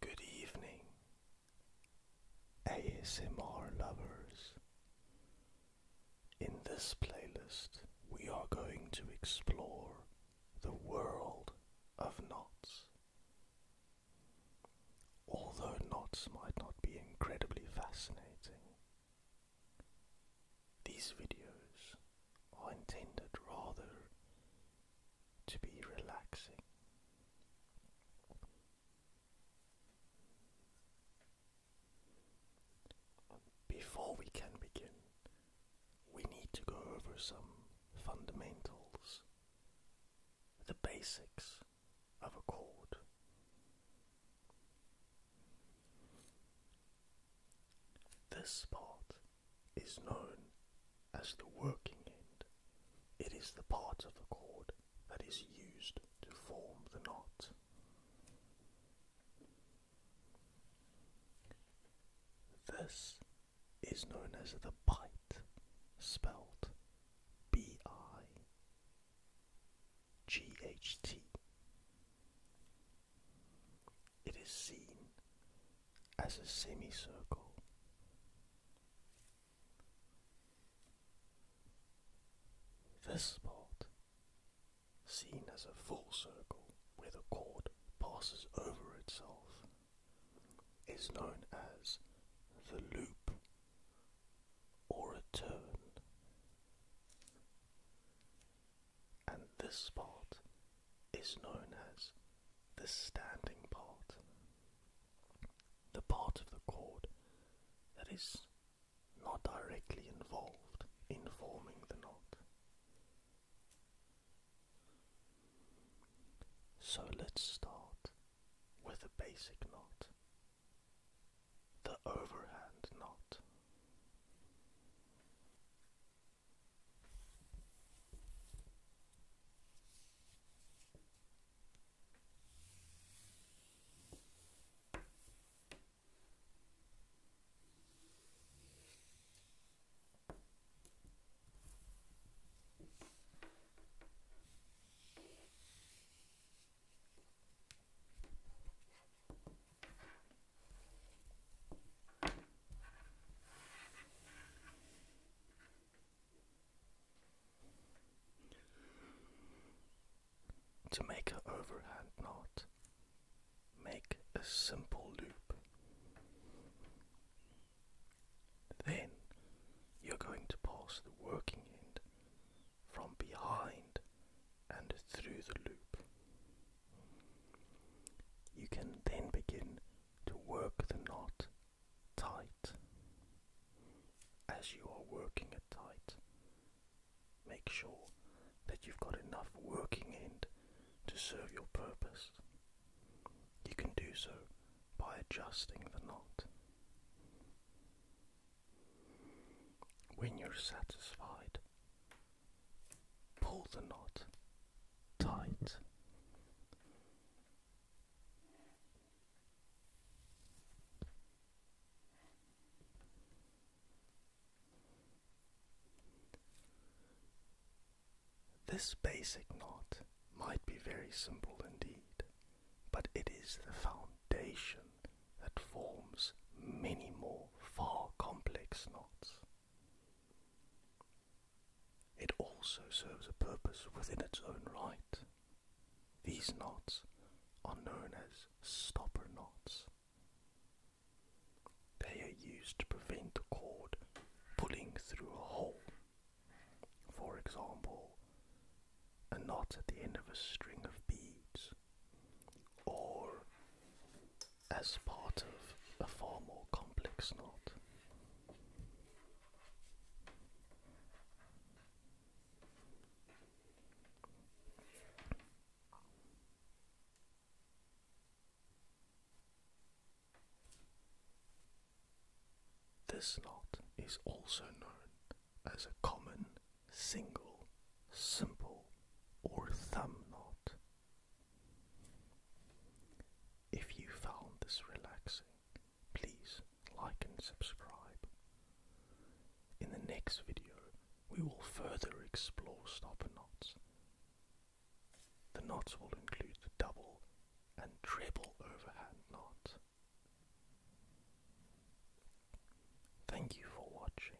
Good evening, ASMR lovers. In this playlist, we are going to explore the world of knots. Although knots might not be incredibly fascinating, these videos are intended rather to be relaxing. Before we can begin, we need to go over some fundamentals, the basics of a chord. This part is known as the working end. It is the part of the cord that is used to form the knot. This is known as the bite, spelled B I GHT. It is seen as a semicircle. This spot, seen as a full circle where the chord passes over itself, is known as the loop or a turn. And this part is known as the standing part, the part of the cord that is not directly involved in forming the knot. So let's start with a basic knot, the overhand knot. To make an overhand knot, make a simple loop. Then you're going to pass the working end from behind and through the loop. You can then begin to work the knot tight. As you are working it tight, Make sure that you've got enough working end to serve your purpose. You can do so by adjusting the knot. When you're satisfied, pull the knot tight. This basic knot might be very simple indeed, but it is the foundation that forms many more far complex knots. It also serves a purpose within its own right. These knots are known as stopper knots. They are used to prevent the cord pulling through a hole. For example, a knot at the end of a string of beads, or as part of a far more complex knot. This knot is also known as a common, single, simple, or thumb knot. If you found this relaxing, please like and subscribe. In the next video, we will further explore stopper knots. The knots will include the double and treble overhand knot. Thank you for watching.